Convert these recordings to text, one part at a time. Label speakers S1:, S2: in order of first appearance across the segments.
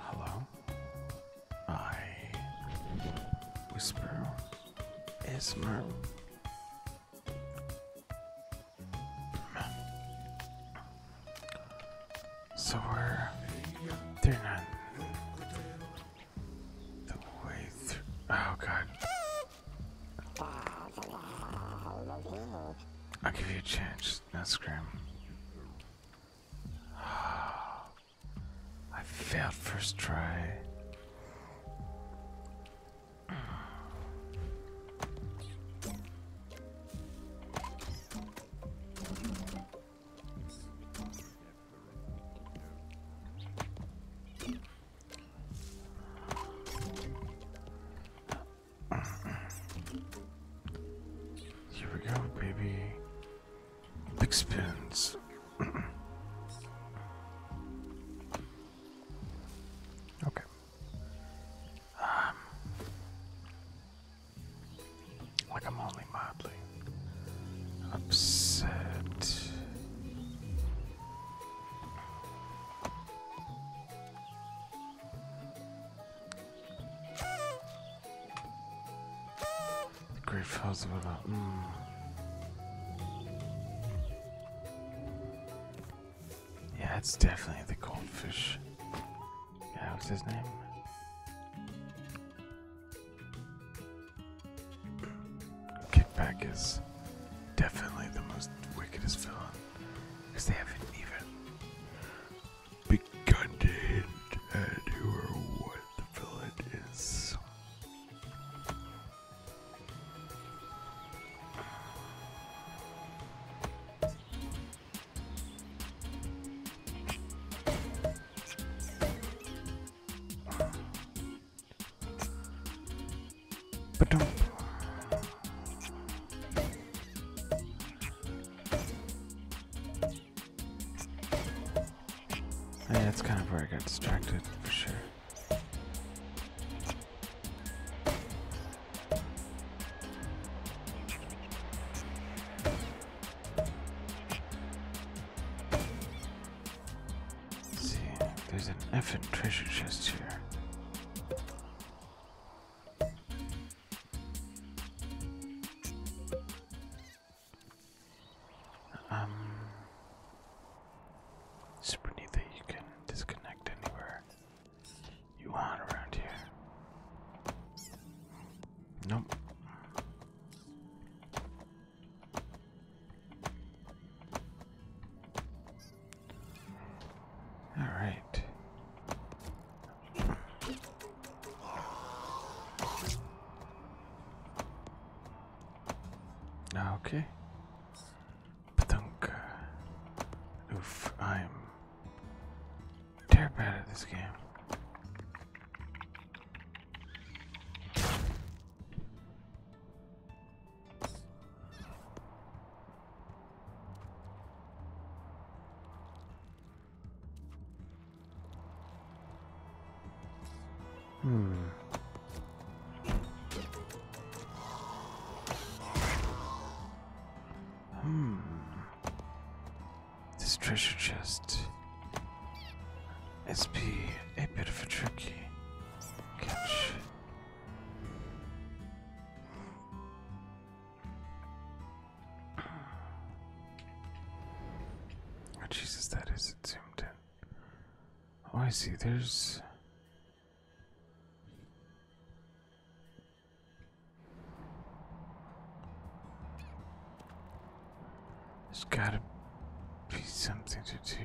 S1: Hello? I whisper Ismer. So we're they're not the way Oh god. I'll give you a chance. Not scream. I failed first try. Here we go, baby. Big spins. okay. Um, like I'm only mildly upset. The Great Falls River. Mm. Yeah, it's definitely the goldfish. what's his name? Kickback is definitely the most wickedest villain because they haven't even begun to hint at who or what the villain is. But do Oh, yeah, that's kind of where I got distracted, for sure. see, there's an effing treasure chest here. Um, super neat that you can disconnect anywhere you want around here. Nope. All right. Ah, okay. Patunk. Oof, I'm terrible at this game. Hmm. Hmm. This treasure chest. It's be a bit of a tricky catch. Jesus, that is zoomed in. Oh, I see. There's. There's gotta be something to do.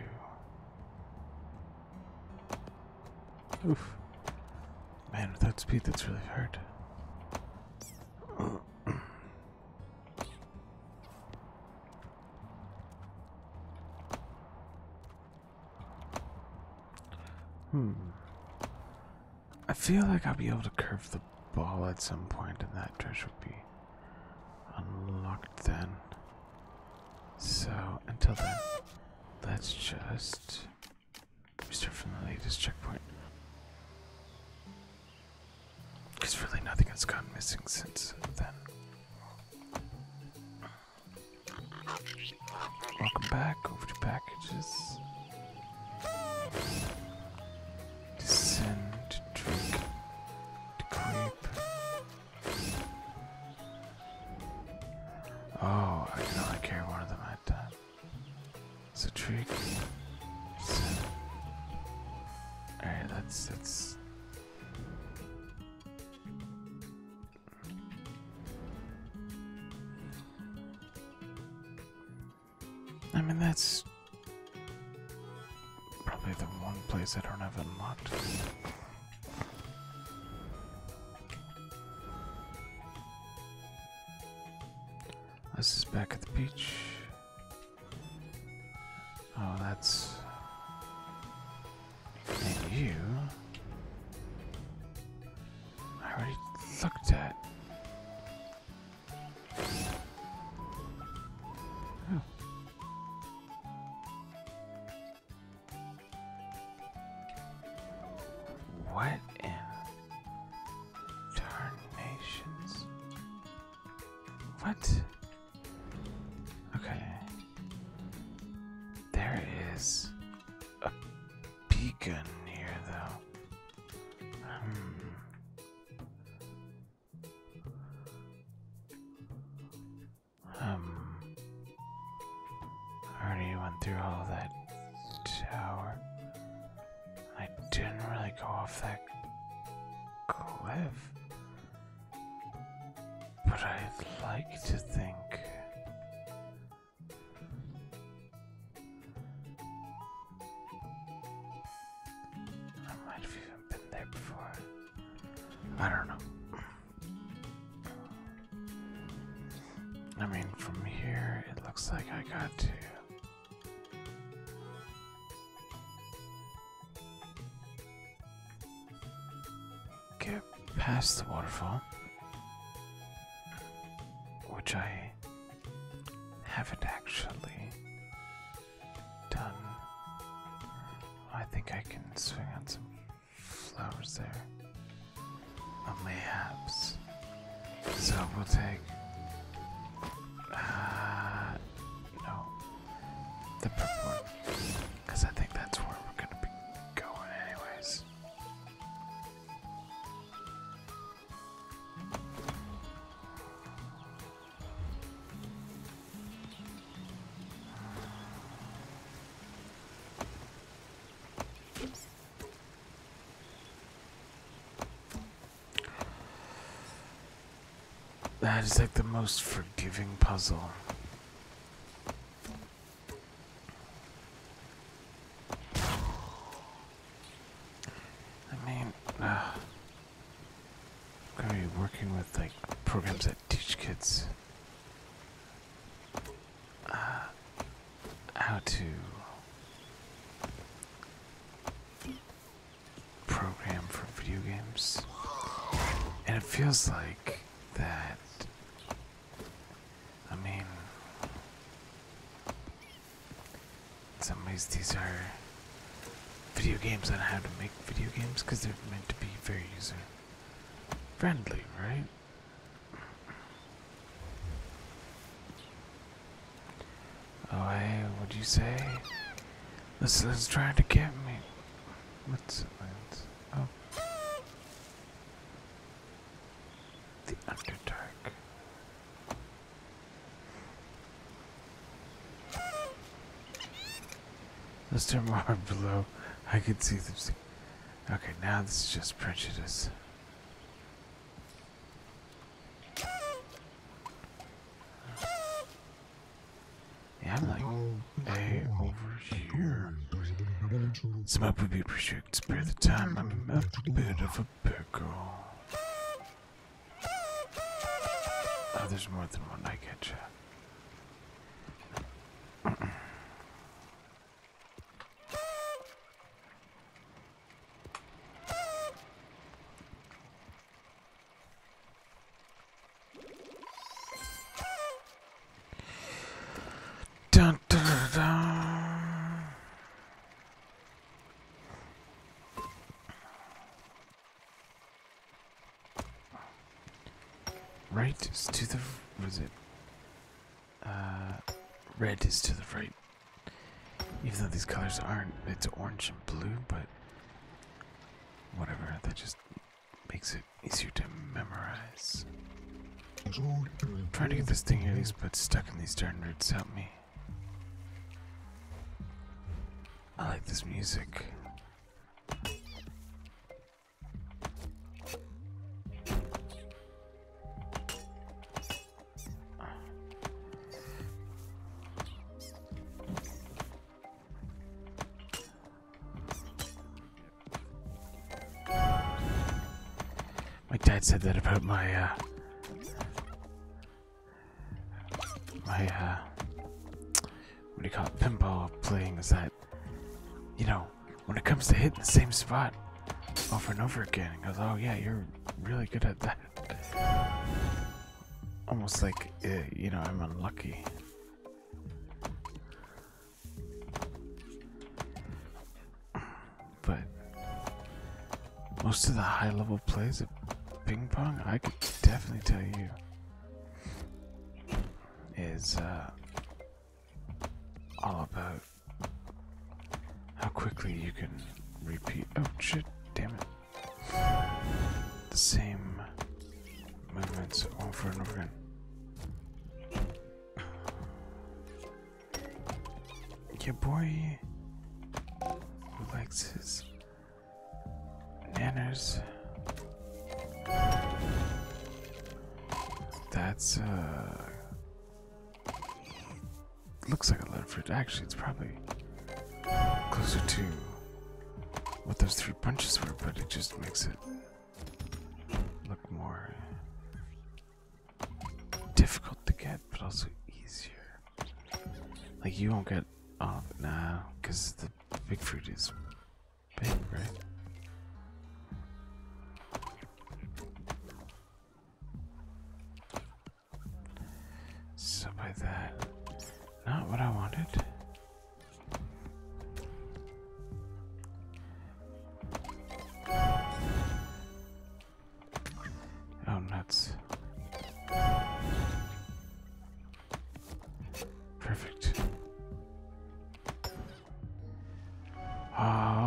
S1: Oof. Man, without speed, that's really hard hmm. I feel like I'll be able to curve the ball at some point, and that treasure would be unlocked then. So, until then, let's just we me start from the latest checkpoint. There's really nothing has gone missing since then. Welcome back over packages. Descend drink creep. Oh, I can only carry one of them at time. It's a trick. So, Alright, let I mean that's probably the one place I don't have unlocked. This is back at the beach. Oh, that's. And you. I already looked at. Oh. What Darnations. What? Okay. There is a beacon here, though. Hmm. Um. already went through all that tower. I didn't really go off that cliff. But I'd like to think. I might have even been there before. I don't know. I mean, from here, it looks like I got to Get past the waterfall, which I haven't actually done. I think I can swing on some flowers there mayhaps. So we'll take. Uh, no. The purple one. Because I think that's where we're going to be going, anyways. That is like the most forgiving puzzle. I mean, uh, I'm gonna be working with like programs that teach kids uh, how to program for video games. And it feels like that. I mean, in some ways, these are video games on how to make video games because they're meant to be very user friendly, right? Oh hey, what'd you say? This is trying to get me. What's it? Oh. The Underdark. Let's turn more below. I can see them. Okay, now this is just prejudice. I'm like, hey, over here. Some up would be appreciated to spare the time. I'm a bit of a pickle. Oh, there's more than one. I get you right is to the was it uh red is to the right even though these colors aren't, it's orange and blue, but whatever, that just makes it easier to memorize. I'm trying to get this thing at least, but stuck in these darn roots, help me. I like this music. My dad said that about my, uh, my, uh, what do you call it, pinball playing is that, you know, when it comes to hitting the same spot over and over again, he goes, oh yeah, you're really good at that. Almost like, uh, you know, I'm unlucky. But most of the high level plays of ping pong, I could definitely tell you, is uh, all about how quickly you can repeat. Oh shit, damn it. The same movements over and over again. Your boy who his nanners. That's, uh looks like a lead fruit. Actually, it's probably closer to what those three punches were, but it just makes it look more difficult to get, but also easier. Like, you won't get all of it now, because the big fruit is big, right? So by that, not what I wanted. Oh nuts. Perfect. Oh.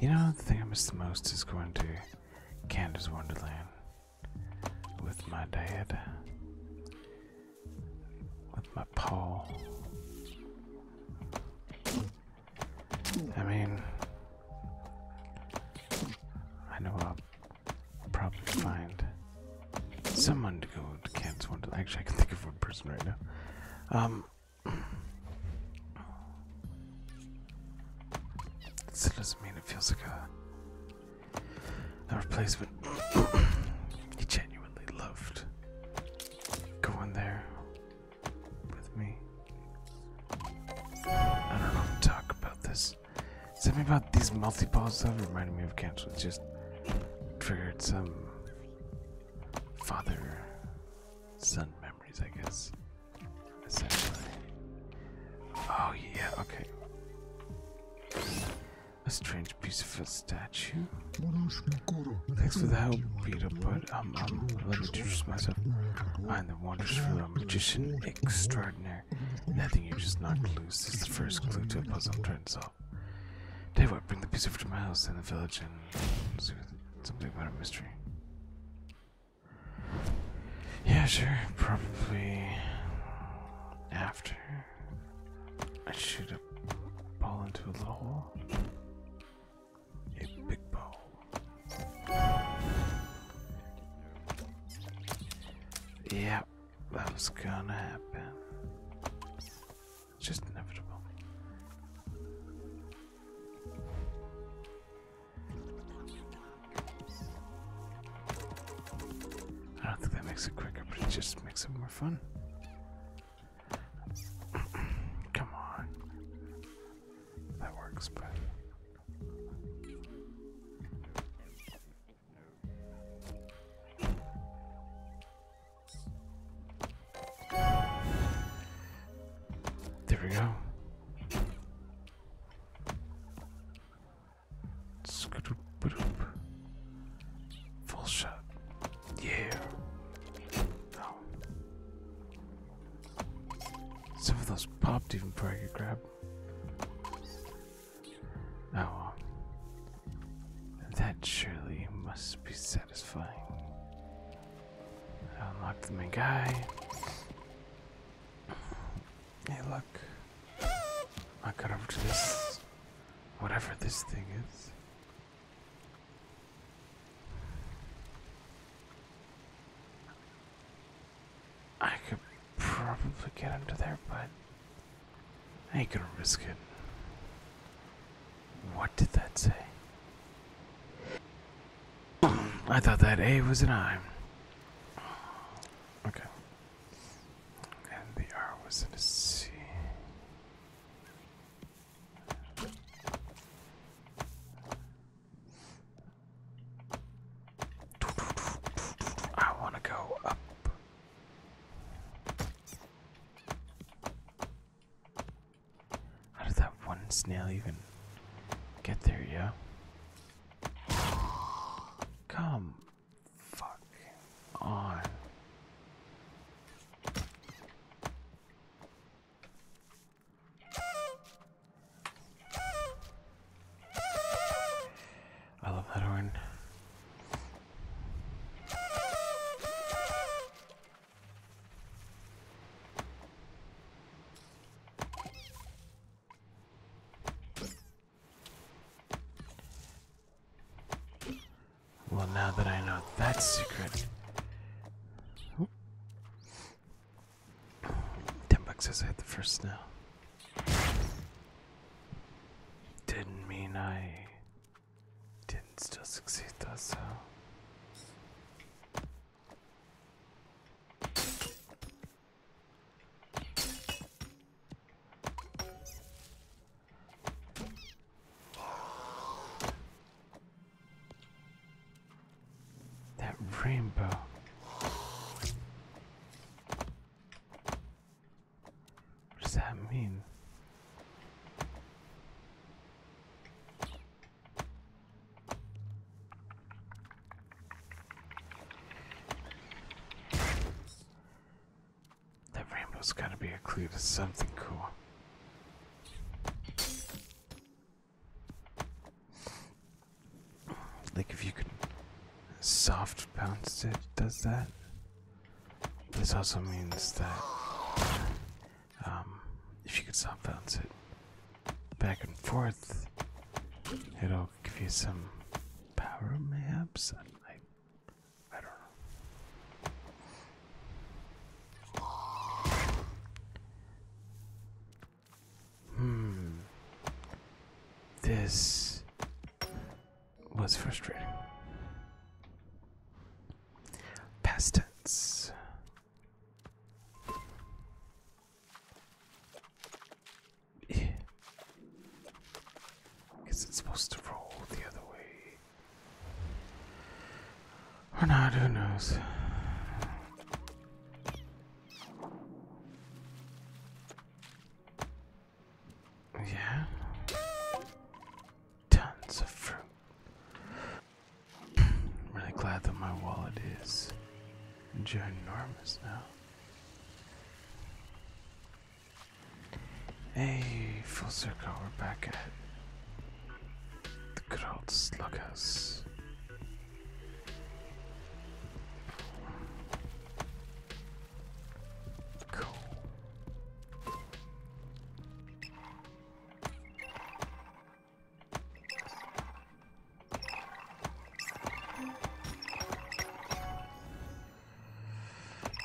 S1: You know, the thing I miss the most is going to Canada's Wonderland with my dad, with my pa. I mean, I know I'll probably find someone to go to Cat's Wonderland. Actually, I can think of one person right now. Um, this doesn't mean it feels like a, a replacement. he genuinely loved going there with me. I don't know talk about this. Something about these multi balls though reminded me of Cat's. just triggered some father son memories, I guess. Essentially. Oh, yeah, okay. A strange piece of a statue. Thanks for the help, Peter, but um, um let me introduce myself. I'm the wonders for uh, a magician extraordinaire. And I think you just knocked loose is the first clue to a puzzle Turns am Dave, Tell what, bring the piece over to my house in the village and see something about a mystery. Yeah, sure. Probably after I shoot a ball into a little hole. A big ball. Yep, that was gonna happen. It's just inevitable. I don't think that makes it quicker, but it just makes it more fun. Come on. That works, but there we go. Full shot. Yeah. Oh. Some of those popped even before I could grab. Oh, that surely must be satisfying. Unlock the main guy. Hey, look. I got over to this. Whatever this thing is. I could probably get under there, but I ain't gonna risk it. What did that say? I thought that A was an I. Okay. And the R was a C. I want to go up. How did that one snail even get there, yeah? Come fuck on. I love that horn. Well, now that I know that secret, Oop. ten bucks as I had the first now. Didn't mean I didn't still succeed though, so. That rainbow. What does that mean? That rainbow's gotta be a clue to something cool. Like if you could soft bounce it, does that? This also means that um, if you can soft bounce it back and forth, it'll give you some power, maps. I, I don't know. Hmm. This was frustrating. Past tense. Guess it's supposed to roll the other way. Or not, who knows? Yeah. Tons of fruit. I'm really glad that my wallet is ginormous now. Hey, full circle, we're back at the good old slug Cool.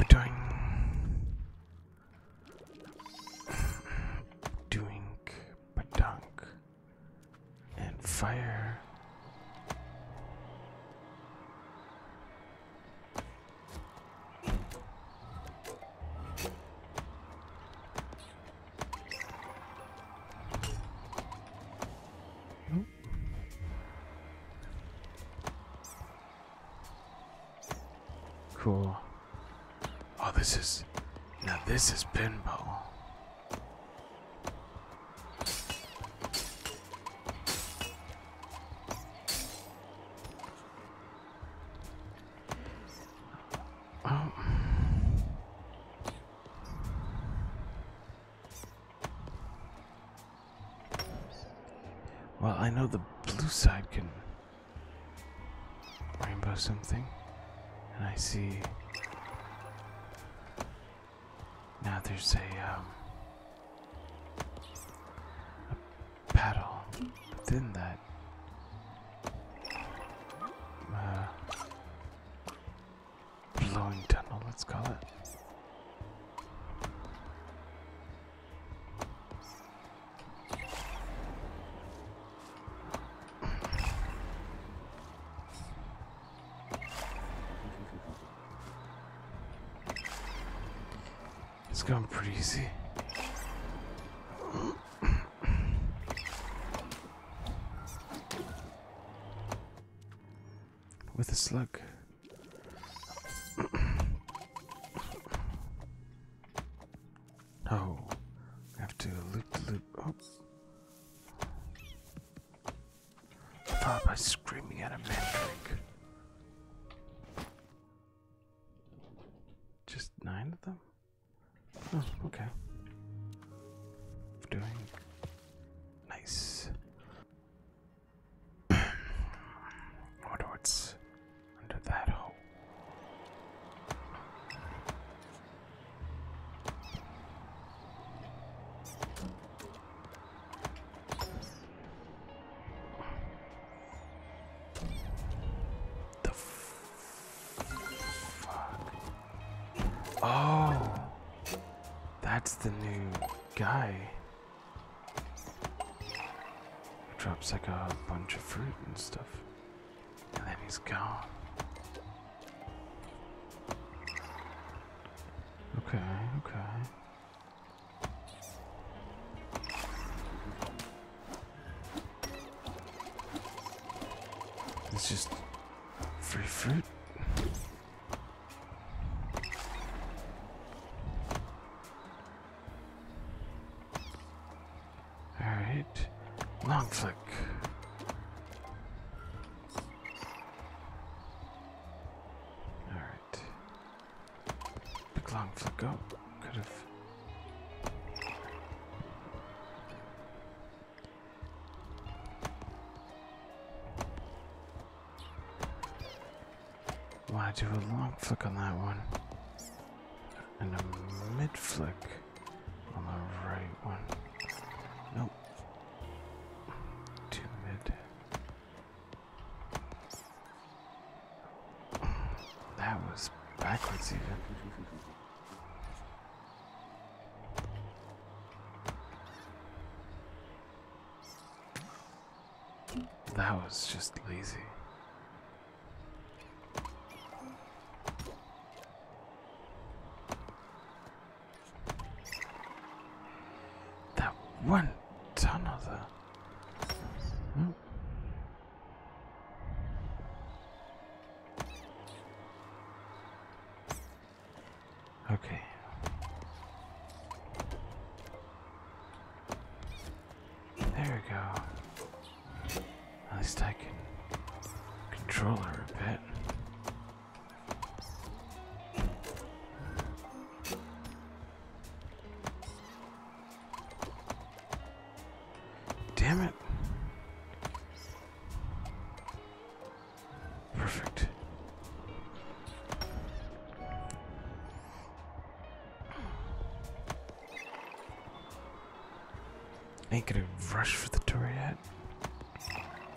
S1: Doing, doing, badunk, and fire. Cool. Oh, this is... Now this is pinball. Oh. Well, I know the blue side can rainbow something, and I see now there's a, um, a paddle within that. Uh, blowing tunnel, let's call it. It's gone pretty easy. With a slug. oh, I have to loop loop. Oh. Papa's screaming at a mandrake. Just nine of them? Oh, okay. Doing nice. I wonder what's under that hole. The fuck? Oh, that's the new guy. drops like a bunch of fruit and stuff, and then he's gone. Okay, okay. It's just free fruit. Alright. Long flick. Alright. Big long flick up. Could have. Why well, do a long flick on that one? And a mid flick on the right one. Nope. Two mid. That was backwards even. That was just lazy. That one tunnel though. Hmm. Okay. There we go. At least I can control her a bit. Damn it. Perfect. Ain't gonna rush for the door yet,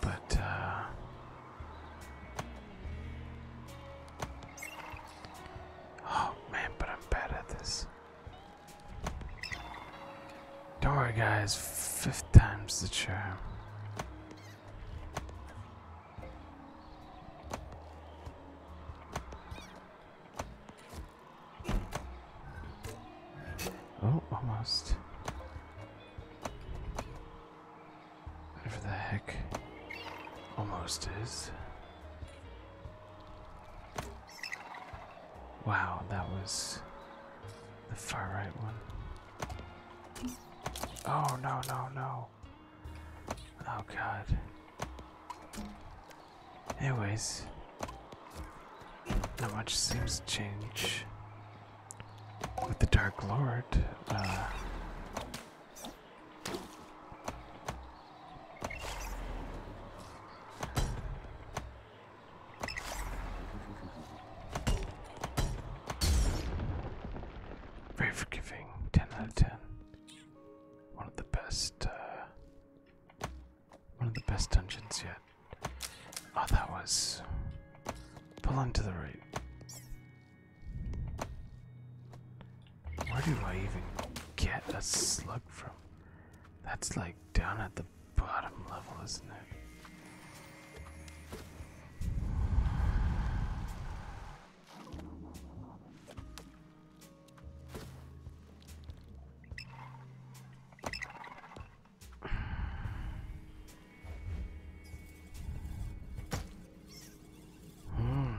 S1: but uh, Oh man, but I'm bad at this. Don't worry, guys, fifth time's the charm. Oh, almost. Whatever the heck almost is. Wow, that was the far right one. Oh, no, no, no. Oh, God. Anyways, not much seems change with the Dark Lord. Uh, very forgiving, 10 out of 10. One of the best, uh, one of the best dungeons yet. Oh, that was. Pull on to the right. Where do I even get a slug from? That's like down at the bottom level, isn't it? Hmm.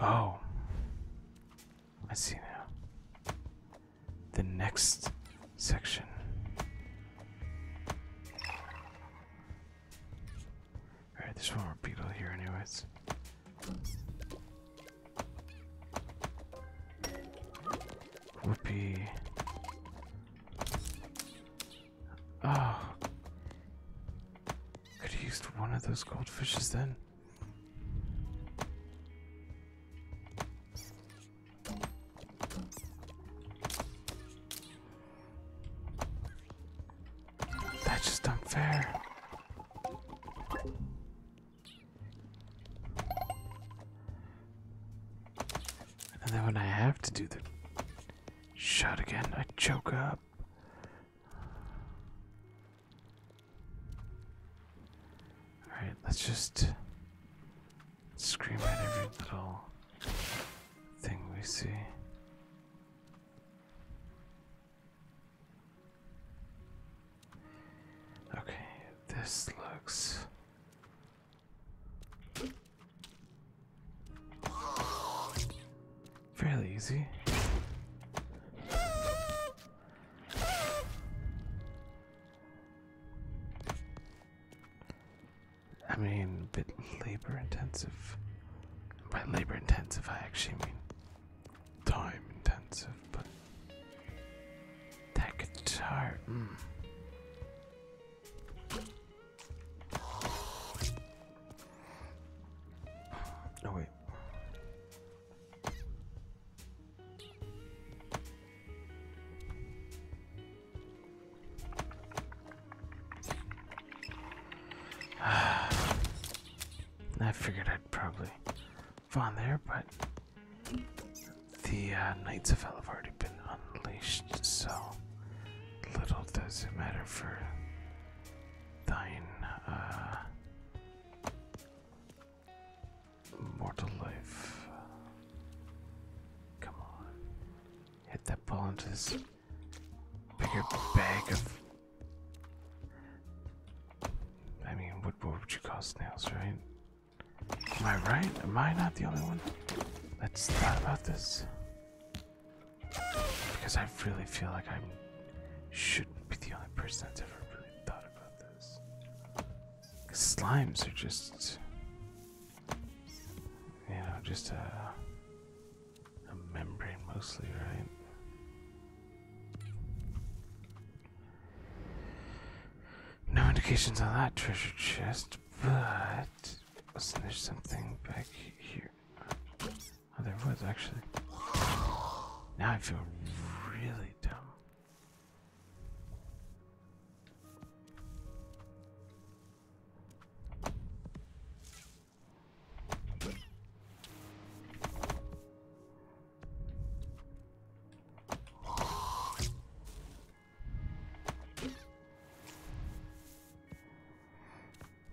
S1: Oh, I see now. The next section. Alright, there's one more beetle here, anyways. Whoopee. Oh. Could have used one of those goldfishes then. That's just unfair. And then when I have to do the shot again, I choke up. Alright, let's just scream at every little thing we see. Okay, this looks Fairly easy. I mean, a bit labor intensive. By labor intensive, I actually mean time intensive, but that guitar. Mm. Oh, wait. I figured I'd probably fall there, but the uh, Knights of Hell have already been unleashed, so little does it matter for thine uh, mortal life. Come on. Hit that ball into this bigger bag of. I mean, what would you call snails, right? Am I right? Am I not the only one that's thought about this? Because I really feel like I shouldn't be the only person that's ever really thought about this. slimes are just, you know, just a, a membrane mostly, right? No indications on that treasure chest, but wasn't there something back here? Oh, there was actually. Now I feel really dumb.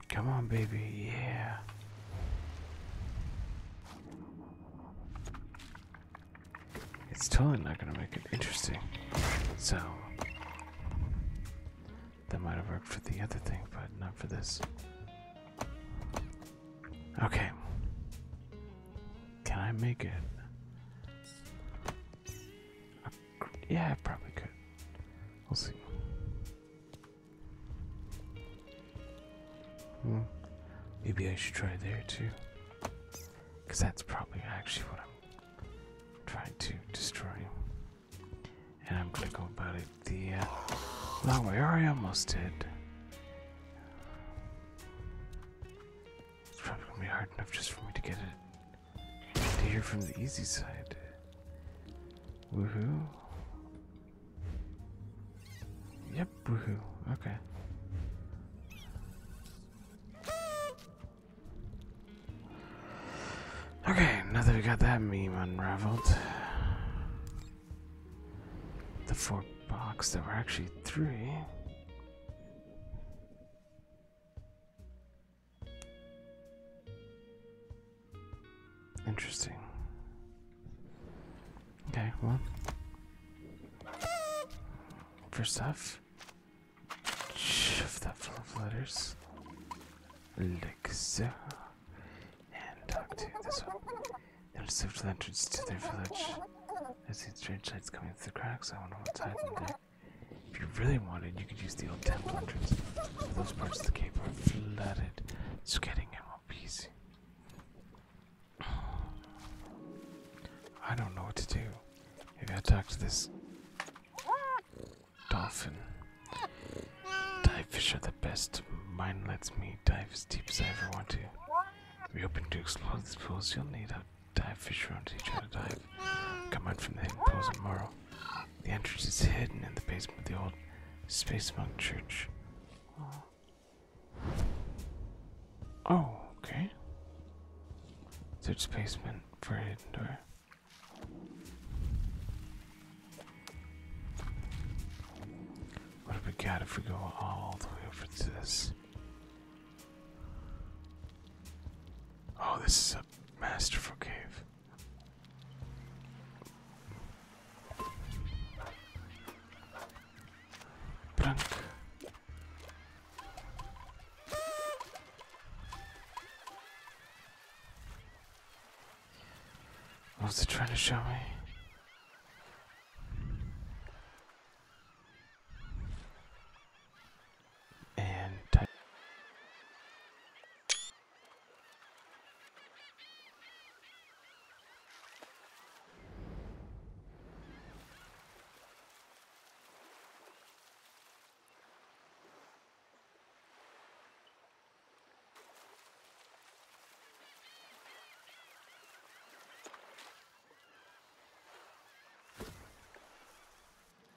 S1: Come on, baby, yeah. It's totally not gonna make it interesting. So, that might have worked for the other thing, but not for this. Okay. Can I make it? Yeah, probably could. We'll see. Hmm. Maybe I should try there too. Because that's probably actually what I'm trying to destroy. And I'm going to go about it the long uh, way. I almost did. It's probably going to be hard enough just for me to get it to hear from the easy side. Woohoo. Yep, woohoo. Okay. Okay, now that we got that meme unraveled. The four boxes there were actually three. Interesting. Okay, well. First off, shift that full of letters. Like And talk to this one. There's swift lanterns to their village. I see strange lights coming through the cracks. I wonder what time if you really wanted, you could use the old temple entrance. But those parts of the cave are flooded, so getting in won't be easy. I don't know what to do. Have I'll to this dolphin. Dive fish are the best. Mine lets me dive as deep as I ever want to. If you hoping to explore these pools, you'll need a Dive, fish around to each other, dive. Come out from the hidden pools of The entrance is hidden in the basement of the old Space Monk Church. Oh, okay. Search basement for a hidden door. What have we got if we go all the way over to this? Oh, this is a masterful cave. Plunk. What was it trying to show me? and type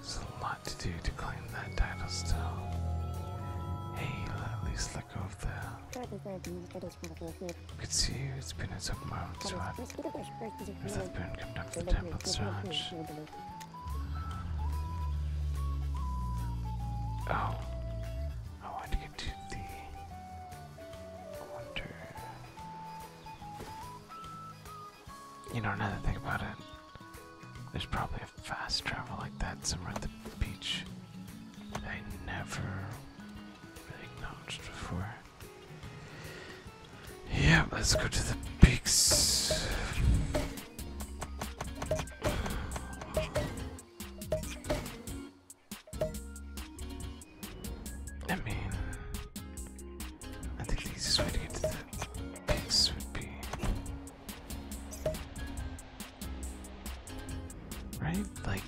S1: There's a lot to do to claim that title still. Hey, at least let go of the... could see it's been a tough moment, so that burn come temple strange. Oh. I want to get to the... wonder... You know, another thing about it, there's probably a fast travel like that somewhere at the beach I never acknowledged before. Yeah, let's go to the peaks. I mean, I think the easiest way to get to the base would be. Right? Like.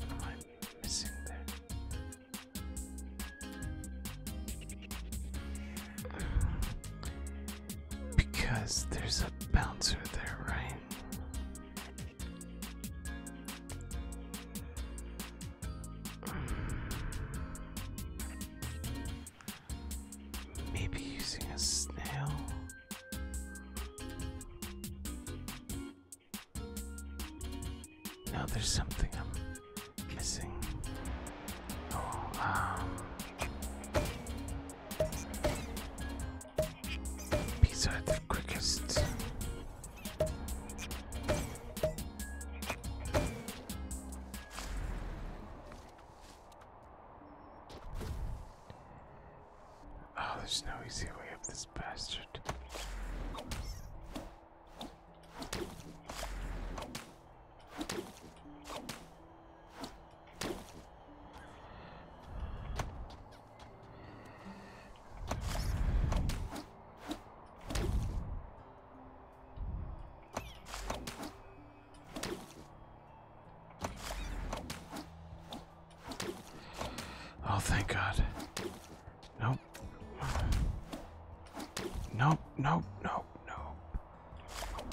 S1: What am I missing there? Because there's a bouncer there, right? Maybe using a snail? No, there's something I'm missing. Oh, um. These are the quickest. Oh, there's no easy way up this bastard. Oh, thank God. Nope. Nope, nope, nope, nope.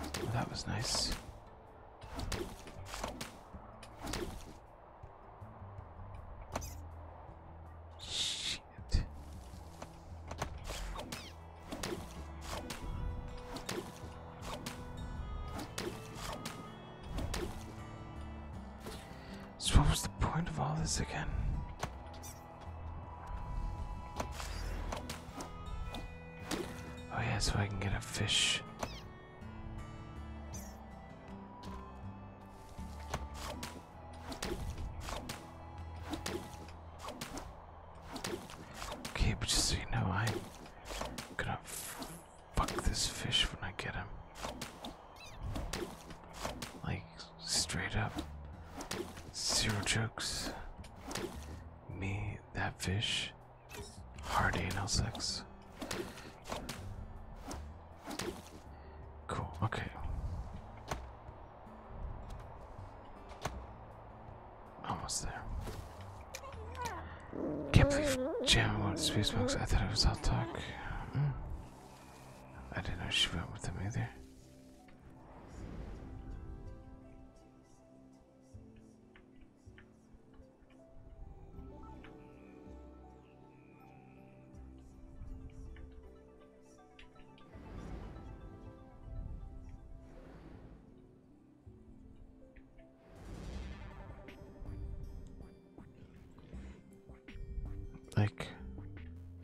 S1: Oh, that was nice. Jeez. So what was the point of all this again? Oh yeah, so I can get a fish. Okay, but just so you know, I'm gonna fuck this fish when I get him. Like, straight up. Zero jokes. Me, that fish, hard anal sex. Cool, okay. Almost there. Can't believe Jam wanted space box. I thought it was all talk. Hmm. I didn't know she went with him either. Like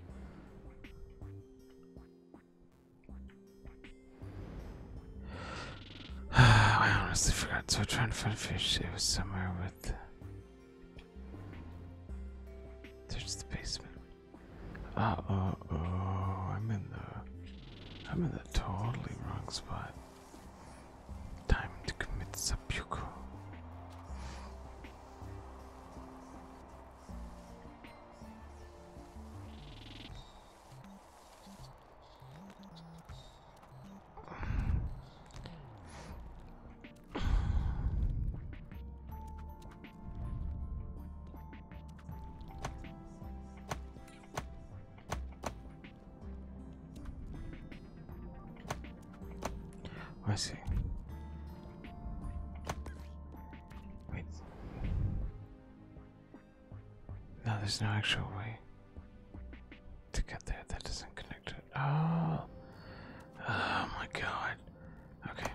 S1: I honestly forgot, so I tried to find fish. It was somewhere with there's the basement. Uh oh, oh, I'm in the, I'm in the totally wrong spot. Time to commit seppuku. I see. Wait. No, there's no actual way to get there that doesn't connect Oh. Oh my god. Okay.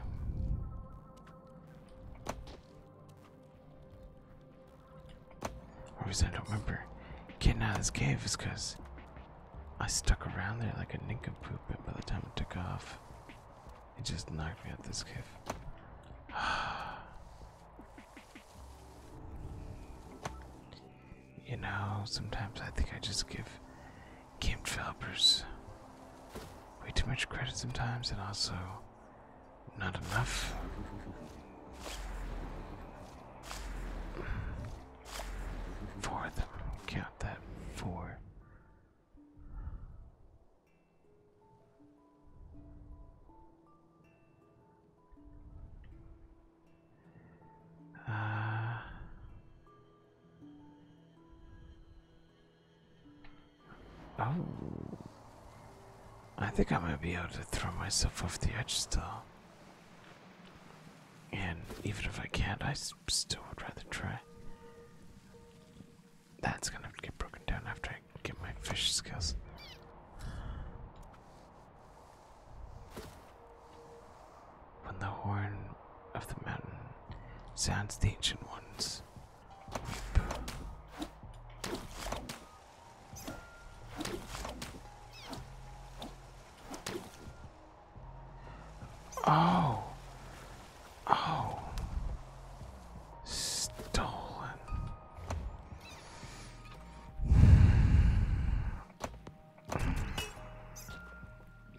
S1: The reason I don't remember getting out of this cave is because I stuck around there like a poop, and by the time it took off, it just knocked me out of this cave. you know, sometimes I think I just give Game developers. Way too much credit sometimes, and also not enough. Four of them. Count that four. Uh, Oh. I think I might be able to throw myself off the edge still. And even if I can't, I still would rather try. That's gonna get broken down after I get my fish skills. When the horn of the mountain sounds the ancient ones. Weep. Oh, oh, stolen.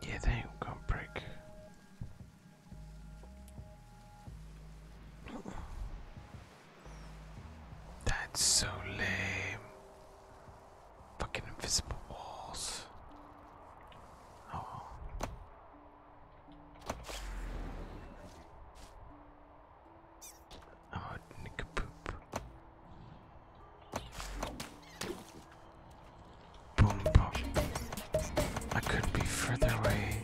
S1: yeah, they ain't going break. That's so lame. Fucking invisible walls. Oh. Oh, nick poop. Boom, boom. I couldn't be further away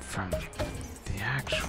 S1: from the actual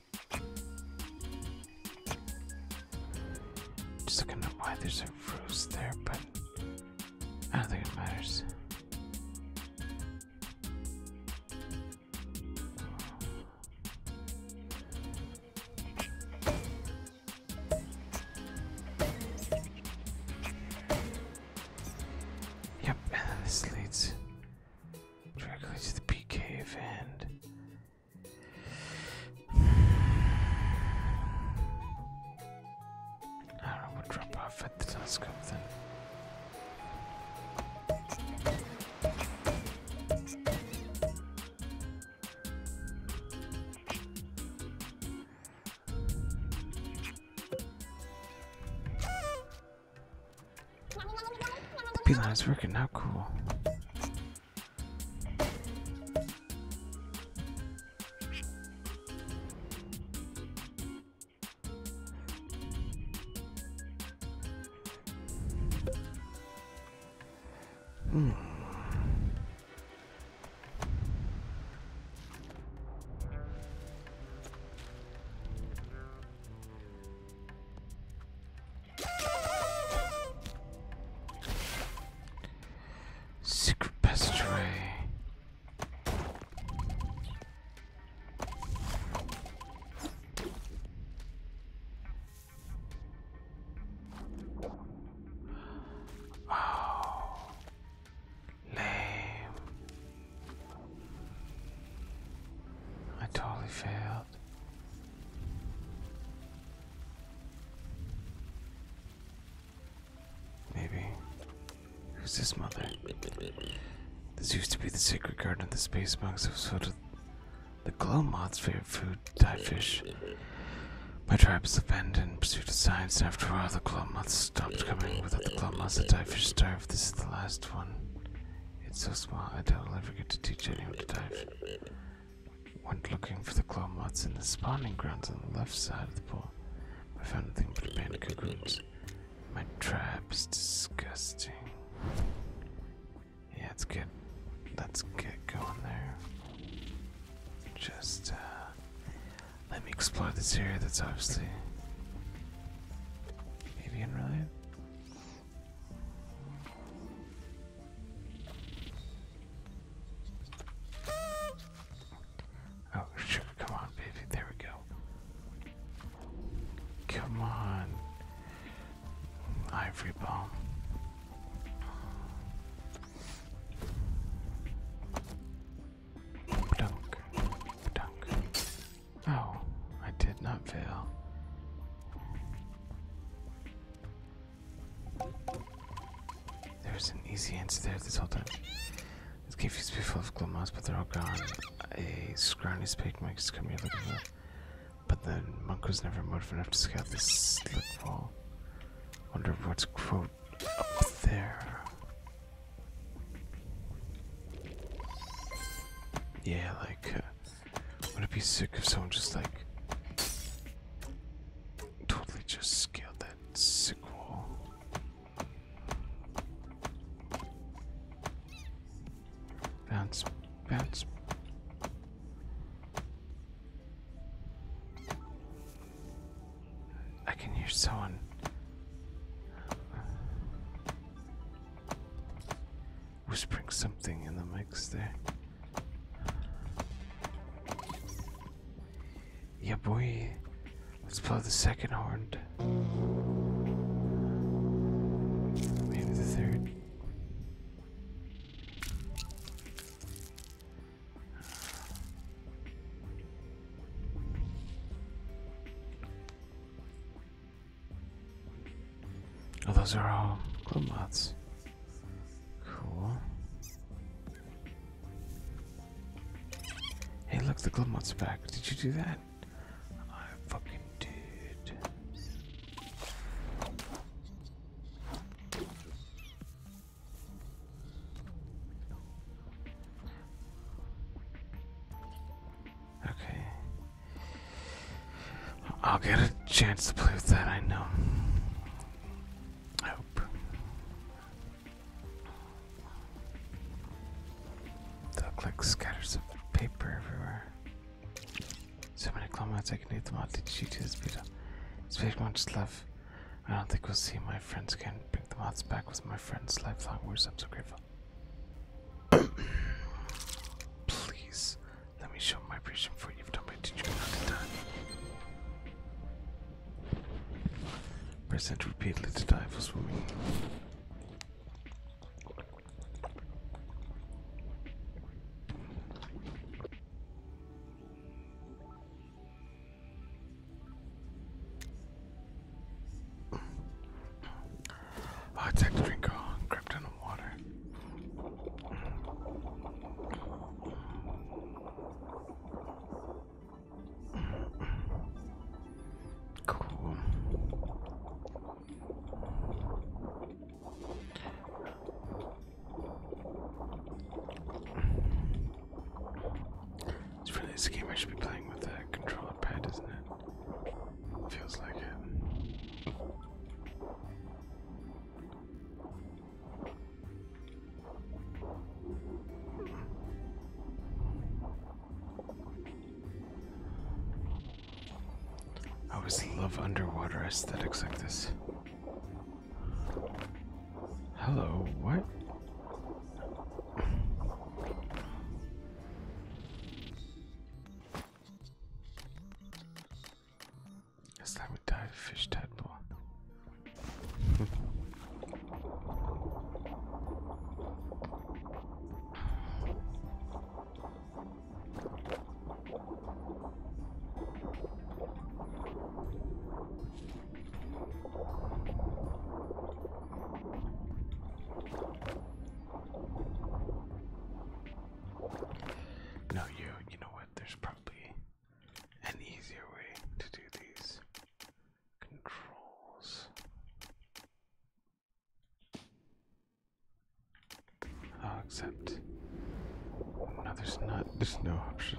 S1: Just looking at why there's a rose there, but I don't think it matters. Yep, this leads Directly to the P cave and. will drop off at the telescope then line is working now, cool. Hmm. Secret passageway. Oh, lame. I totally failed. Maybe. Who's this mother? This used to be the sacred garden of the space monks who sort of the glow moth's favorite food, dive fish. My tribe's abandoned pursuit of science, after all, the glow moths stopped coming. Without the glow moths, the dive fish starved. This is the last one. It's so small, I doubt I'll ever get to teach anyone to dive. Went looking for the claw moths in the spawning grounds on the left side of the pool. I found nothing but abandoned cocoons. My trap's disgusting. Yeah, let's get, let's get going there. Just, uh, let me explore this area that's obviously avian related. Oh, sugar, come on, baby. There we go. Come on. Ivory bomb. Dunk. Dunk. Oh, I did not fail. There's an easy answer there this whole time. It's cave used to be full of glow but they're all gone. A scrawny spike might just come here looking for But then monk was never motivated enough to scout this slip wall. Wonder what's quote up there. Yeah, like uh, would it be sick if someone just like totally just scaled that sick wall? Bounce, bounce. I can hear someone whispering something in the mix there. Yeah, boy. Let's blow the second horn. Maybe the third. Oh, those are all glow Cool. Hey, look, the glow moth's back. Did you do that? I fucking did. Okay. I'll get a chance to play with that, I know. I hope. The click scatters of paper everywhere. So many kilometers I can eat them all. Did you do this beta? It's very much love. I don't think we'll see my friends again. Bring the moths back with my friends life-long words. I'm so grateful. Please. Let me show my appreciation for you've done my teaching another time. Present repeatedly to die for swimming. I oh, it's like drink on uh, Krypton water. Cool. It's really this game I should be playing with a controller pad, isn't it? Feels like it. I always love underwater aesthetics like this. Hello, what? It's like we died fish tadpole. No, you, you know what? There's probably an easier way to do these controls. Oh, except no, there's not. There's no option.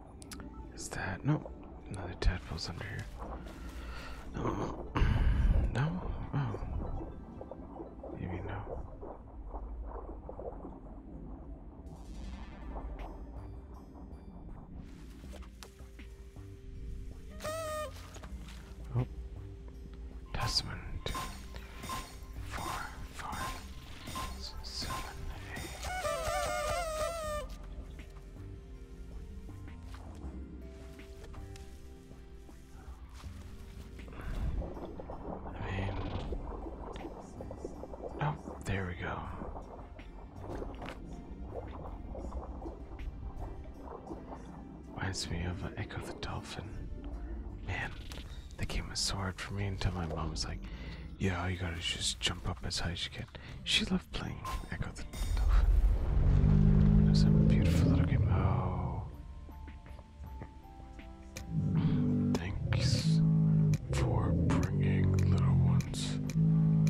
S1: Is that no? Another tadpole's under here. No, no. Oh, maybe no. Oh, that's one, two, four, five, seven, eight oh, there we go. Reminds me of Echo the Dolphin. Man, they game was so hard for me until my mom was like, "Yeah, you gotta just jump up as high as you can." She left. Echo the Dolphin. There's a beautiful little game. Oh. Thanks for bringing little ones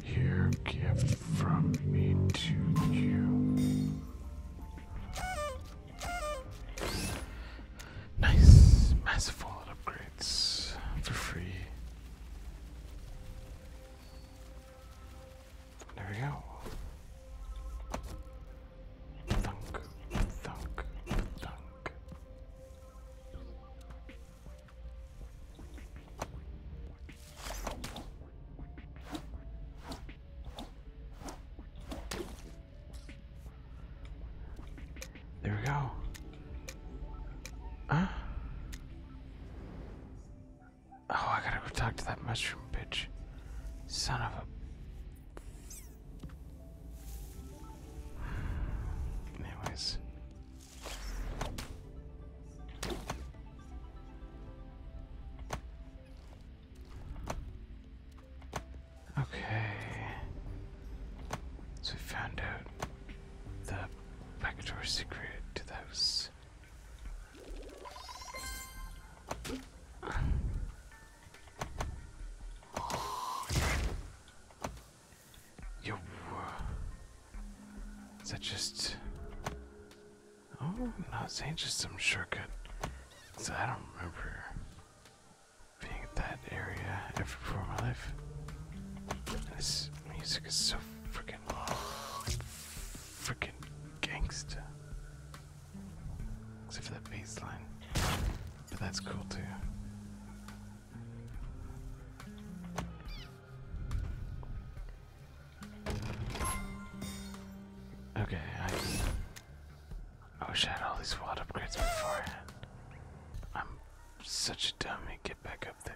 S1: here. Gift from me to you. Nice, massive wallet upgrades for free. There we go. Thunk, thunk, thunk. There we go. Ah. Oh, I gotta go talk to that mushroom bitch. Son of a. Anyways. Okay. So we found out the backdoor secret to the house. Yo. Is that just. Oh, no, it's ain't just some shortcut. So I don't remember being at that area ever before in my life. This music is so freaking. Fucking, gangster. Except for that bass But that's cool too. Okay, I wish I had all these wad upgrades beforehand. I'm such a dummy. Get back up there.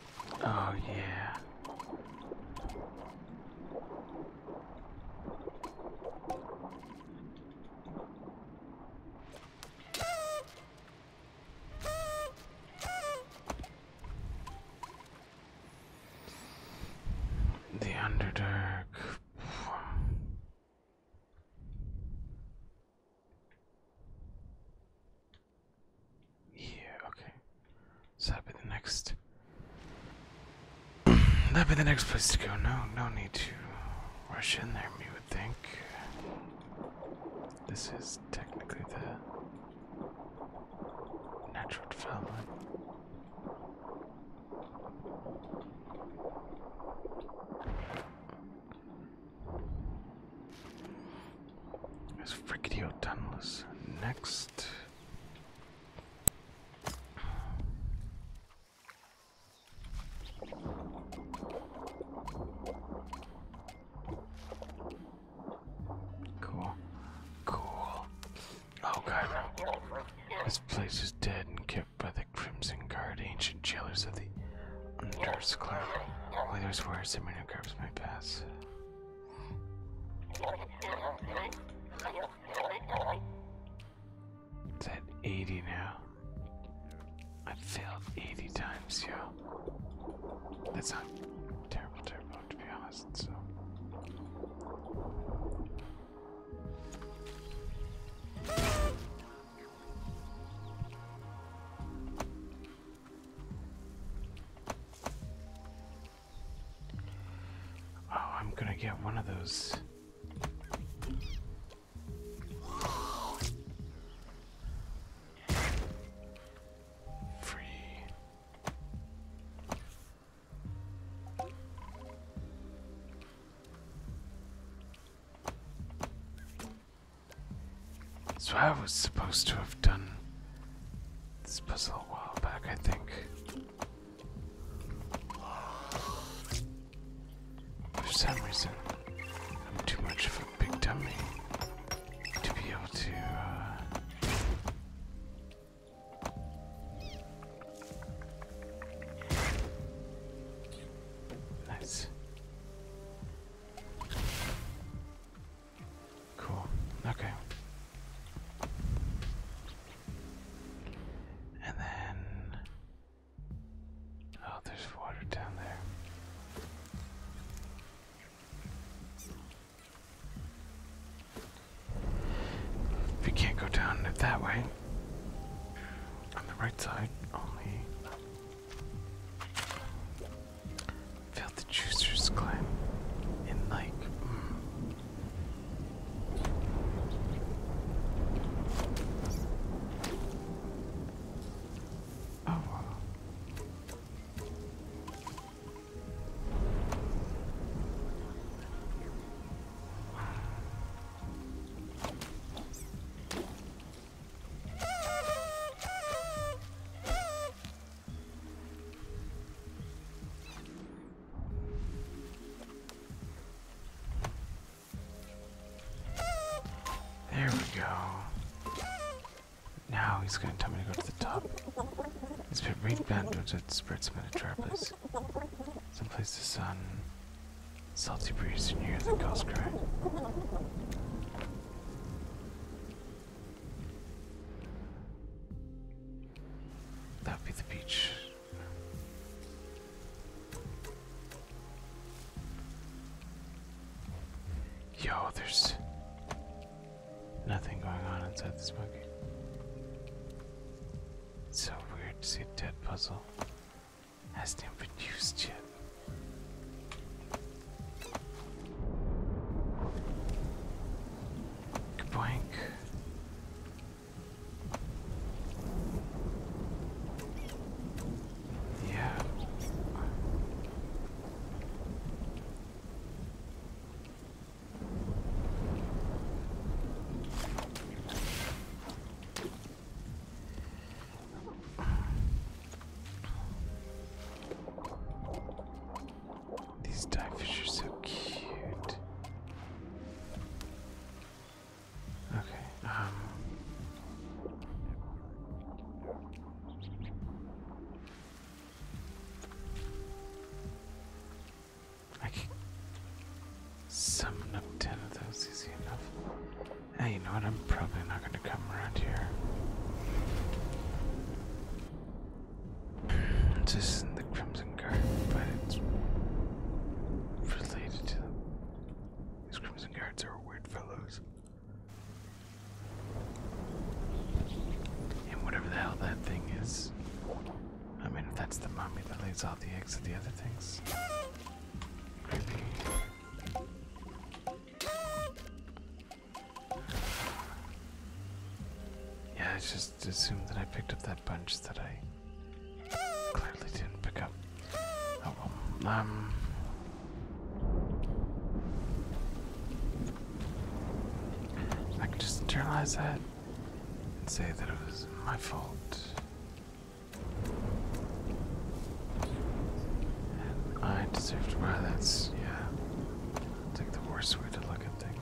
S1: Oh, yeah. The Underdark. Yeah, okay. that'd be the next. that'd be the next place to go. No, no need to rush in there, We would think. This is technically the natural development. There's Frigidio Tunnels next. Cool. Cool. Oh god. This place is dead and kept by the Crimson Guard, ancient jailers of the Unders Club. Only those warriors of many guards may pass. It's at 80 now. I've failed 80 times, yo. That's not terrible, terrible, to be honest, so. Oh, I'm gonna get one of those. Free. So I was supposed to have done this puzzle a while back, I think. For some reason, I'm too much of a big dummy to be able to. Uh, nice. Cool. Okay. And then oh, there's water down there. If you can't go down it that way, on the right side only. Failed the juicer's climb. And like mm. Oh there we go. Now he's going to tell me to go to the top. It's been read bandage that spreads many trappers. Someplace the sun, salty breeze, and you hear the gulls cry. That would be the beach. Yo, there's nothing going on inside this monkey. It's so weird to see a dead puzzle. Hasn't even been used yet. Boink. Yeah. These dive fish are so cute. Okay, um I can summon up ten of those easy enough. Hey, you know what? I'm probably not gonna come around here. This isn't the Crimson Guard, but it's related to them. These Crimson Guards are weird fellows. And whatever the hell that thing is. I mean, if that's the mummy that lays all the eggs of the other things. Creepy. Yeah, it's just just assumed that I picked up that bunch that I clearly didn't pick up. Oh, um, I can just internalize that and say that it was my fault. I deserve to wear that. Yeah. It's like the worst way to look at things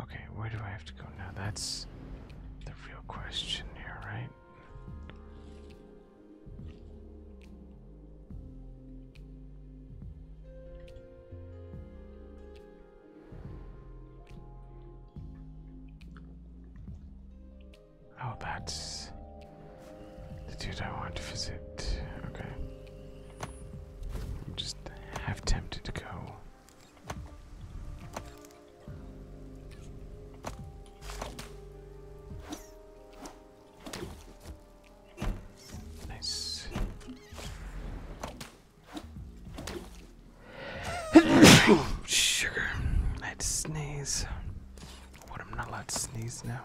S1: Okay, where do I have to go now? That's the real question here, right? Oh, that's the dude I want to visit. Okay. just half tempted to go Nice. Sugar. I had to sneeze. What, I'm not allowed to sneeze now?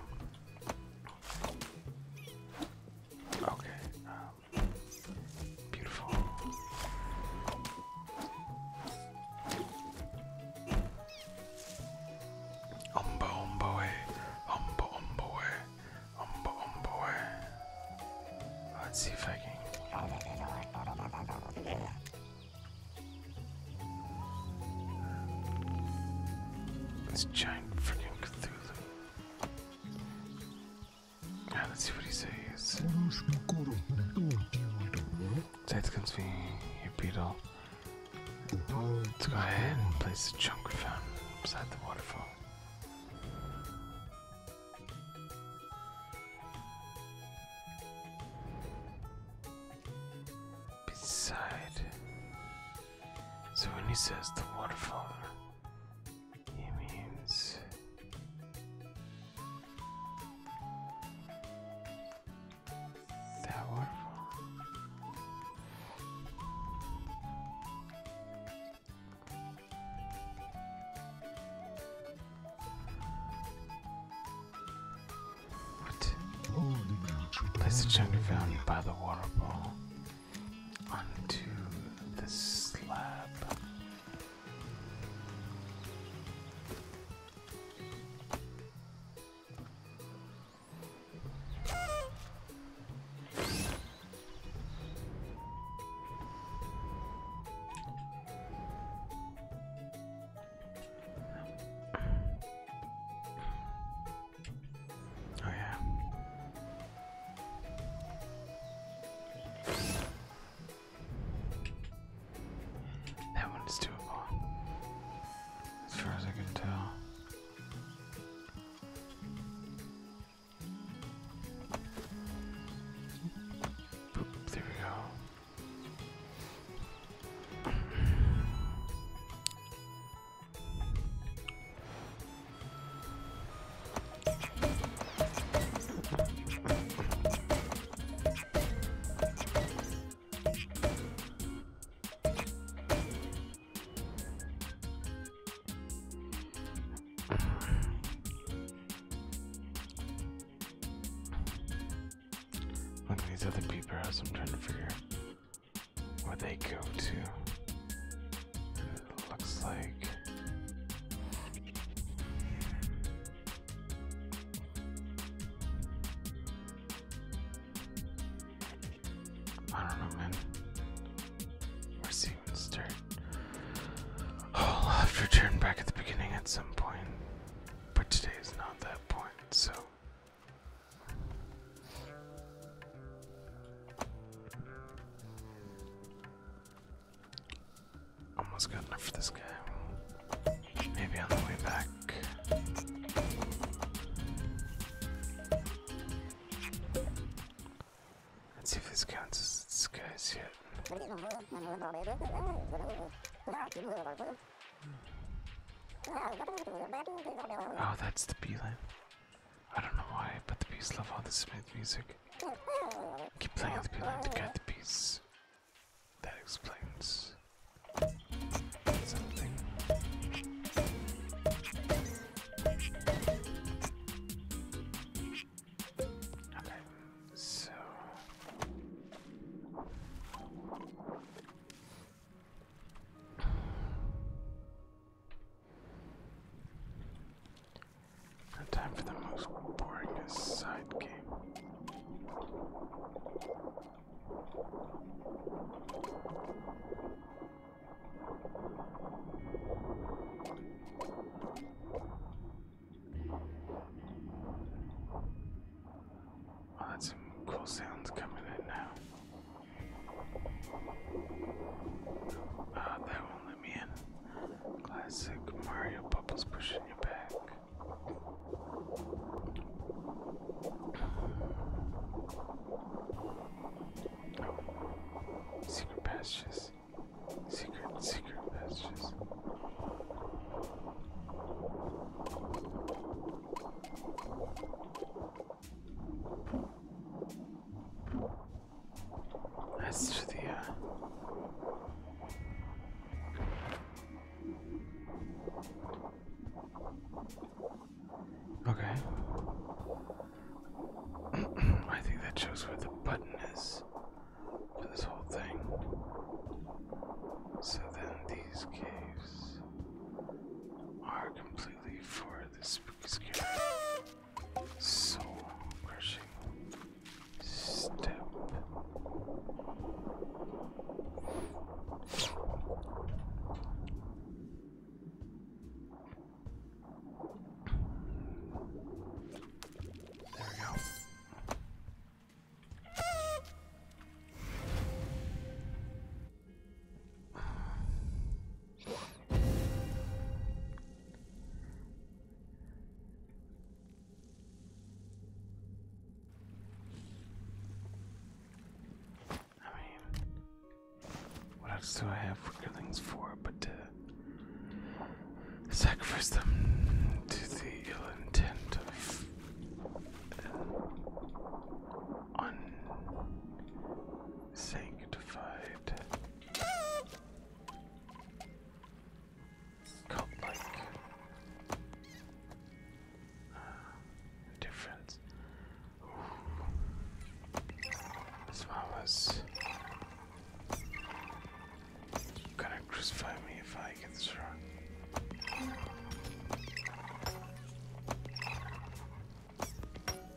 S1: Okay. Um, Beautiful. Umbo umbo eh. Umbo umbo eh. Umbo umbo eh. Let's see if I can. This giant freaking Cthulhu. Yeah, let's see what he says. Let's go ahead and place the chunk we found um, beside the waterfall. So when he says the waterfall, he means waterfall. What? Place the gender by the waterfall onto the slab. Oh, yeah. That one is doable, as far as I can tell. there we go these other people I'm trying to figure where they go to looks like I don't know, man. Where's even start? Oh, I'll have to return back at the beginning at some point, but today is not that point, so. Almost got enough for this guy. Maybe on the way back. Let's see if this counts as this yet. Oh, that's the beeline. I don't know why, but the bees love all this Smith music. Keep playing the beeline to guide the bees. That explains something. Okay, so time for the most boringest side game. Oh, that's some cool sounds coming in now. Ah, that one Classic Mario Bubbles pushing you back. Secret passages. Secret, secret passages. That's to the. Uh, okay. I think that shows where the button is for this whole thing. So then these caves are completely for the spooky scare soul crushing step. There we go. I mean, what else do I have good things for but to sacrifice them to the ill intent of an unsanctified Cult like uh, difference. Ooh. This one was gonna crucify me if I get this wrong.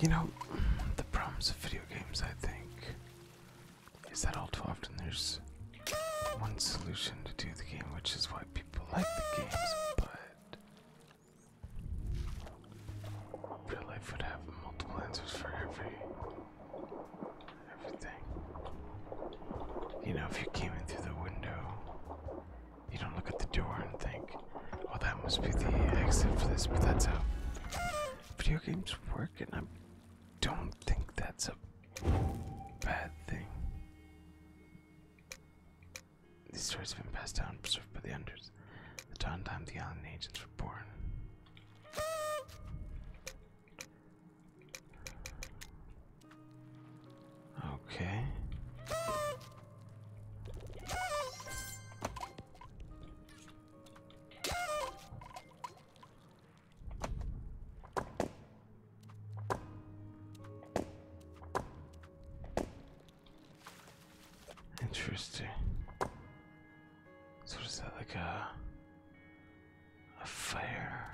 S1: You know, the problems of video games, I think, is that all too often there's one solution to do the game, which is why people like the games, but real life would have multiple answers for every everything. You know, if you came in through the window you don't look at the door and think, "Oh, that must be the exit for this." But that's how video games work, and I don't think that's a bad thing. These stories have been passed down and preserved by the Unders. The dawn time the island agents were born. Okay. Interesting. So is that like a a fire?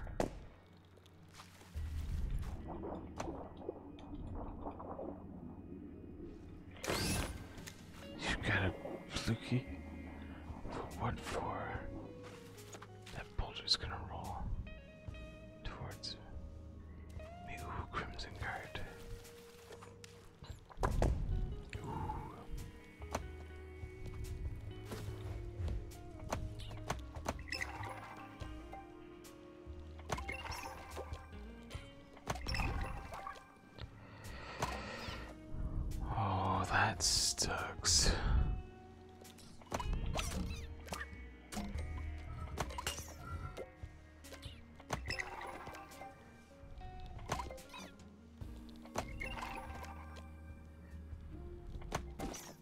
S1: You got a fluky? What for? That boulder's gonna roll towards me. Ooh, Crimson Guard. Ooh. Oh, that sucks.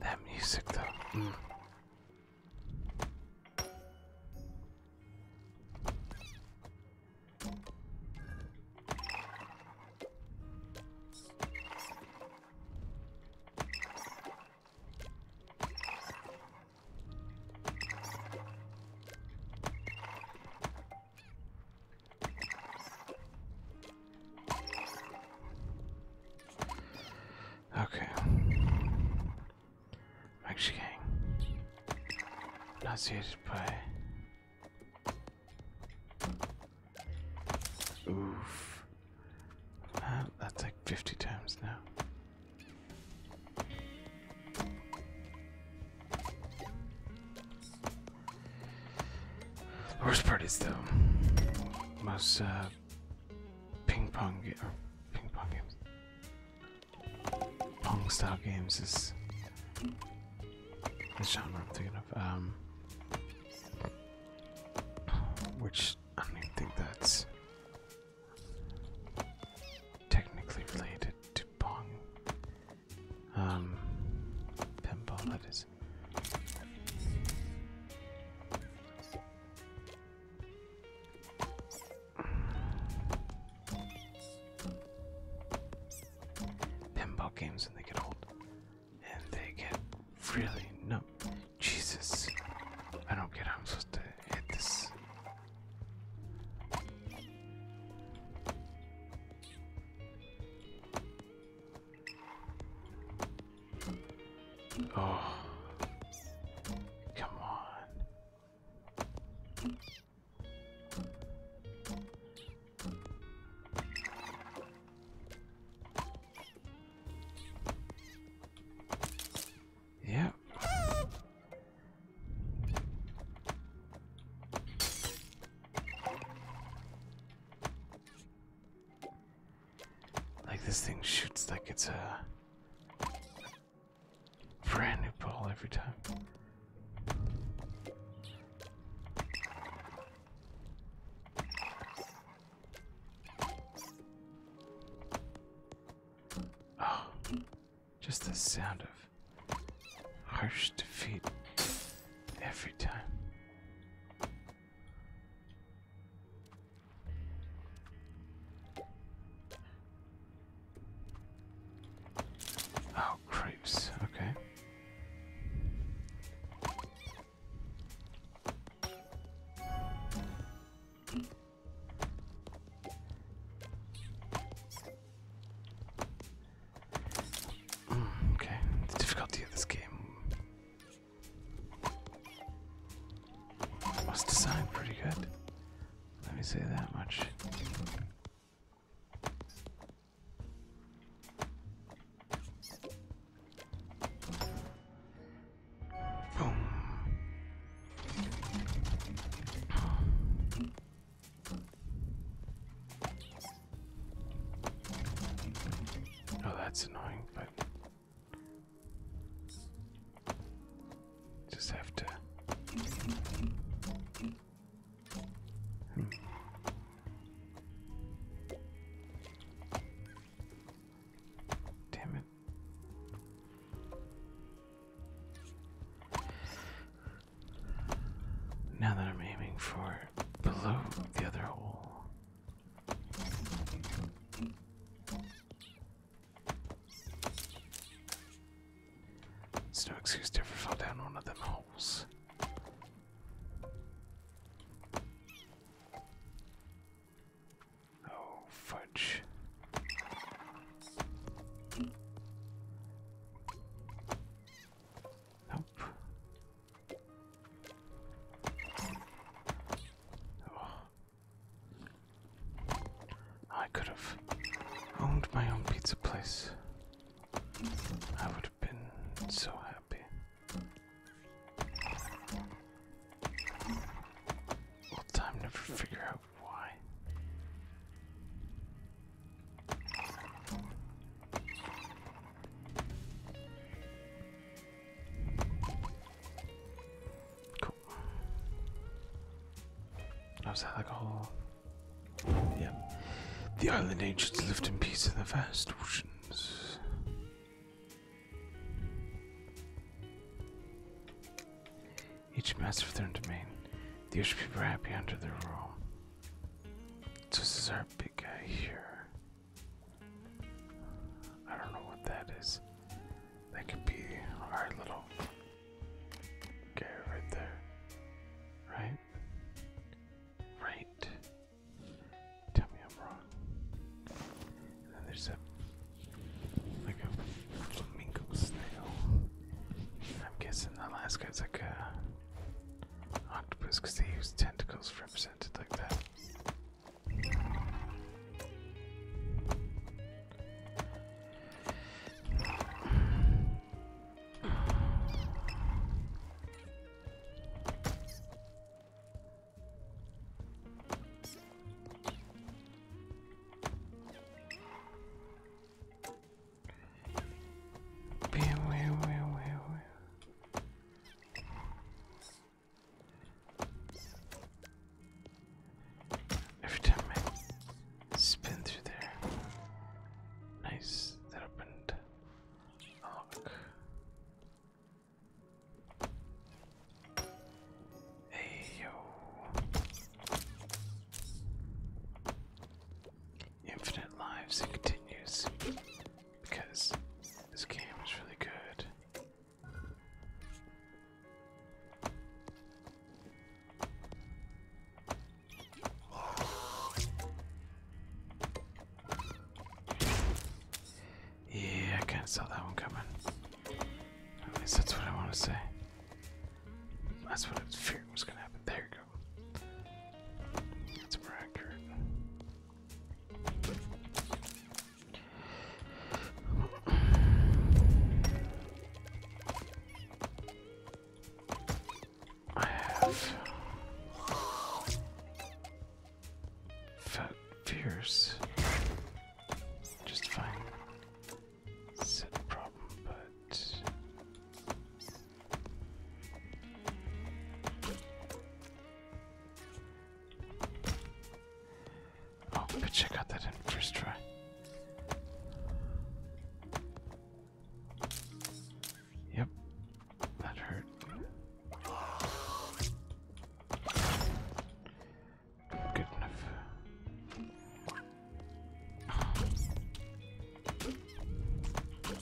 S1: That music, though. Mm. Okay. Actually, not nauseated by. Oof. that's like 50 times now. The worst part is though, most uh, ping pong or ping pong games, pong style games is the genre I'm thinking of. Um, which I don't even think that's technically related to pong. Um, pinball that is. Pinball games when they get old, and they get really no. Jesus, I don't get how I'm supposed to hit this. Oh. Come on. Yep. Like this thing shoots like it's a brand new ball every time. Oh. Just the sound of harsh defeat every time. Oh, creeps. Okay. Mm, okay, the difficulty of this game was designed pretty good. Let me say that much. Boom. Oh, that's annoying, but just have to. Damn it. Now that I'm aiming for below the other hole. There's no excuse to ever fall down one of them holes. Oh, fudge. Nope. Oh. I could have owned my own pizza place. I would have been so happy. Will time never figure out why? Cool. Oh, like a whole? Yeah. The island ancients lived in peace in the vast oceans. Each master of their own domain. The ocean people were happy under their rule this is our big guy here. I don't know what that is. That could be our little guy right there. Right? Right. Tell me I'm wrong. then there's a like a flamingo snail. I'm guessing the last guy's like a octopus because they use tentacles represented like that. Every time I spin through there. Nice, that opened lock. Hey yo infinite lives, it continues. Because this game is really good. Yeah, I can't saw that one coming. At least that's what I want to say. That's what I was fearing was going to happen. There that's more accurate. I have Fat Fierce. Just fine. Set problem, but Oh, bitch, I got that in first try. Yep, that hurt. Good enough.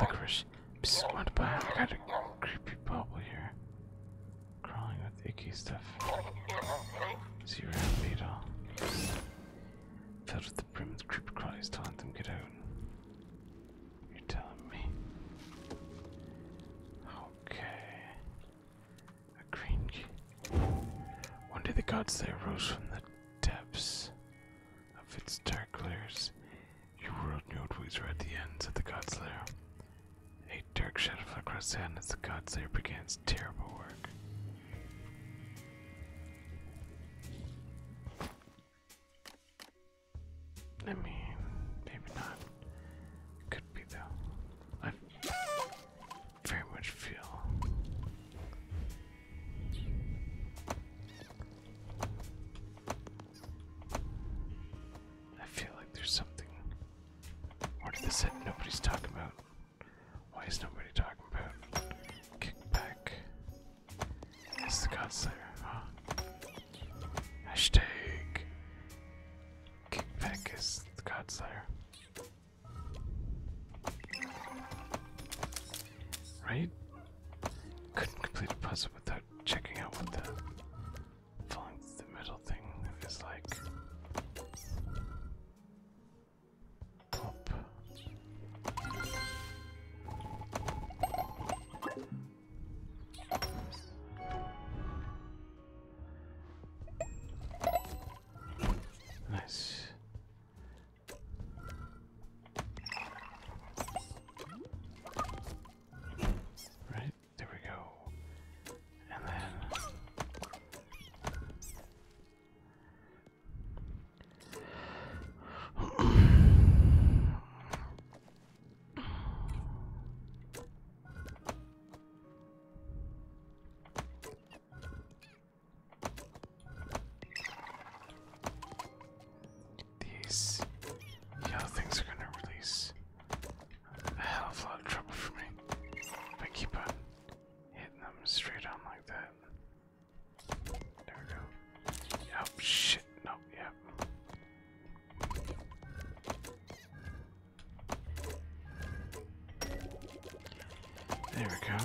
S1: Licorice. Psst, went by. I got a creepy bubble here. Crawling with icky stuff. Zero beetle. Filled with the brim of the to get out. You're telling me. Okay. A green One day the gods there rose from the depths of its dark layers, your world knew it was right at the ends of the God's Lair. A dark shadow fell across the as the God's Lair began terrible work. I mean, maybe not. Could be though. I very much feel I feel like there's something more to nobody's talking about. Why is nobody talking about kickback? It's the God Slayer, Hashtag kickback is the God Slayer. Right? Couldn't complete a puzzle without checking out what the falling through thing is like. Nice. Right, there we go. And then these yellow things are gonna release a hell of a lot of trouble for me I keep hitting them straight on like that. There we go. Oh shit, no, yep. There we go.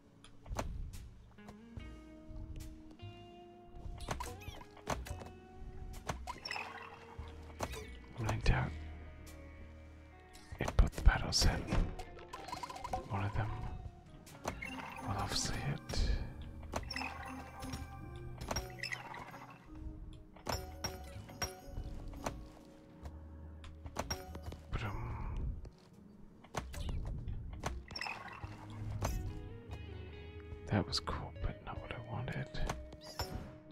S1: Blanked out. It put the battles in. One of them will obviously hit. But um, that was cool, but not what I wanted.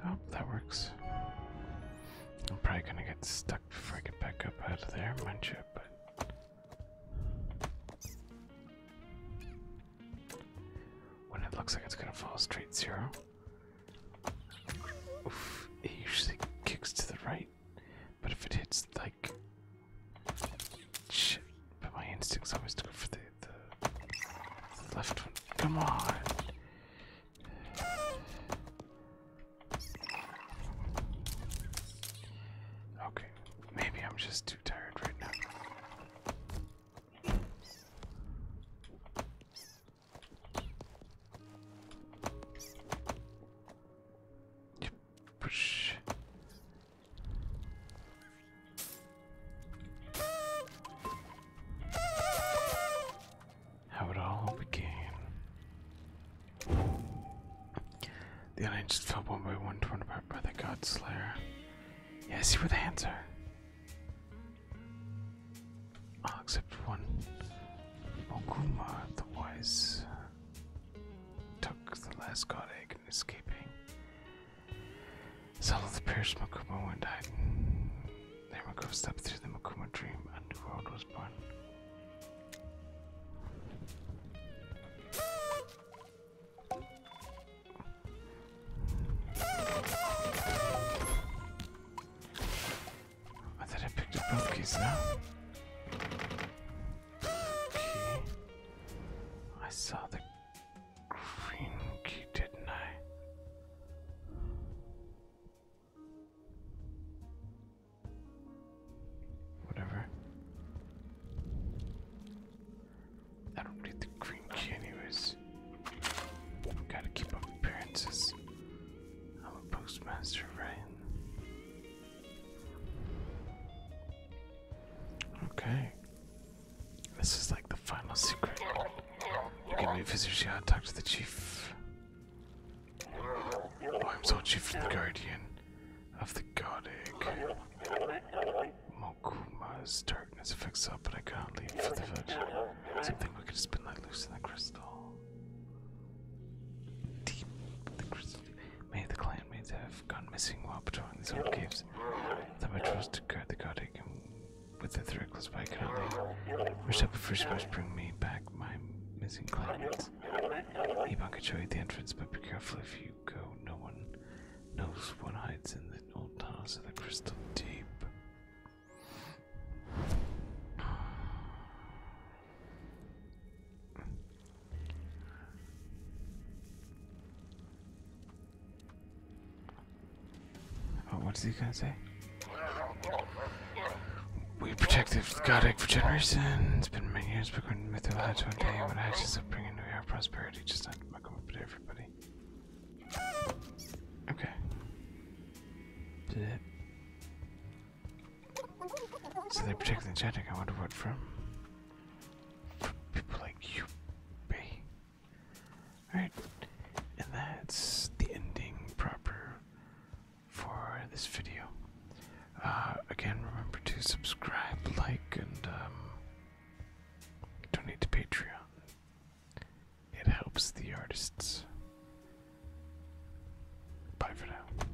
S1: Nope, that works. I'm probably gonna get stuck before I get back up out of there, mind you, but. When it looks like it's gonna fall straight zero, usually kicks to the right. But if it hits like but my instincts always go for the, the, left one. Come on. Okay, maybe I'm just too tired right now. How it all began. The aliens fell one by one, torn apart by the God Slayer. Yes, you were the answer. I'll accept one. Oguma, the wise took the last god egg in escaping. Some of the perished Makuma and died. Then Makuma stepped through the Makuma dream and the world was born. I thought I picked up both keys now. I saw the green key, didn't I? Whatever. I don't need the green key, anyways. gotta keep up appearances. I'm a postmaster, right? Okay. This is like the final secret. You can meet visitors here and talk to the chief. Oh, I'm so chief and guardian of the god egg. Mokuma's darkness affects up, but I cannot leave for the village. Something wicked has been let loose in the crystal. Deep the crystal. Many the clan mates have gone missing while patrolling these old caves. Some I trust to guard the Gothic and with the reckless by only wish up a first to bring me back my missing clanmates. Ebon can show you the entrance, but be careful if you go. No one knows what hides in the old tunnels of the crystal deep. Oh, what's he gonna say? We protected the god egg for generations. It's been many years, but when Mithril hatch one day, when hatches up bringing New our prosperity, just not to come up to everybody. Okay. Blip. So they're particularly enchanting, I wonder what from. From people like you, Bay. Alright, and that's the ending proper for this video. Uh, again, remember to subscribe, like, and um, donate to Patreon. It helps the artists. Bye for now.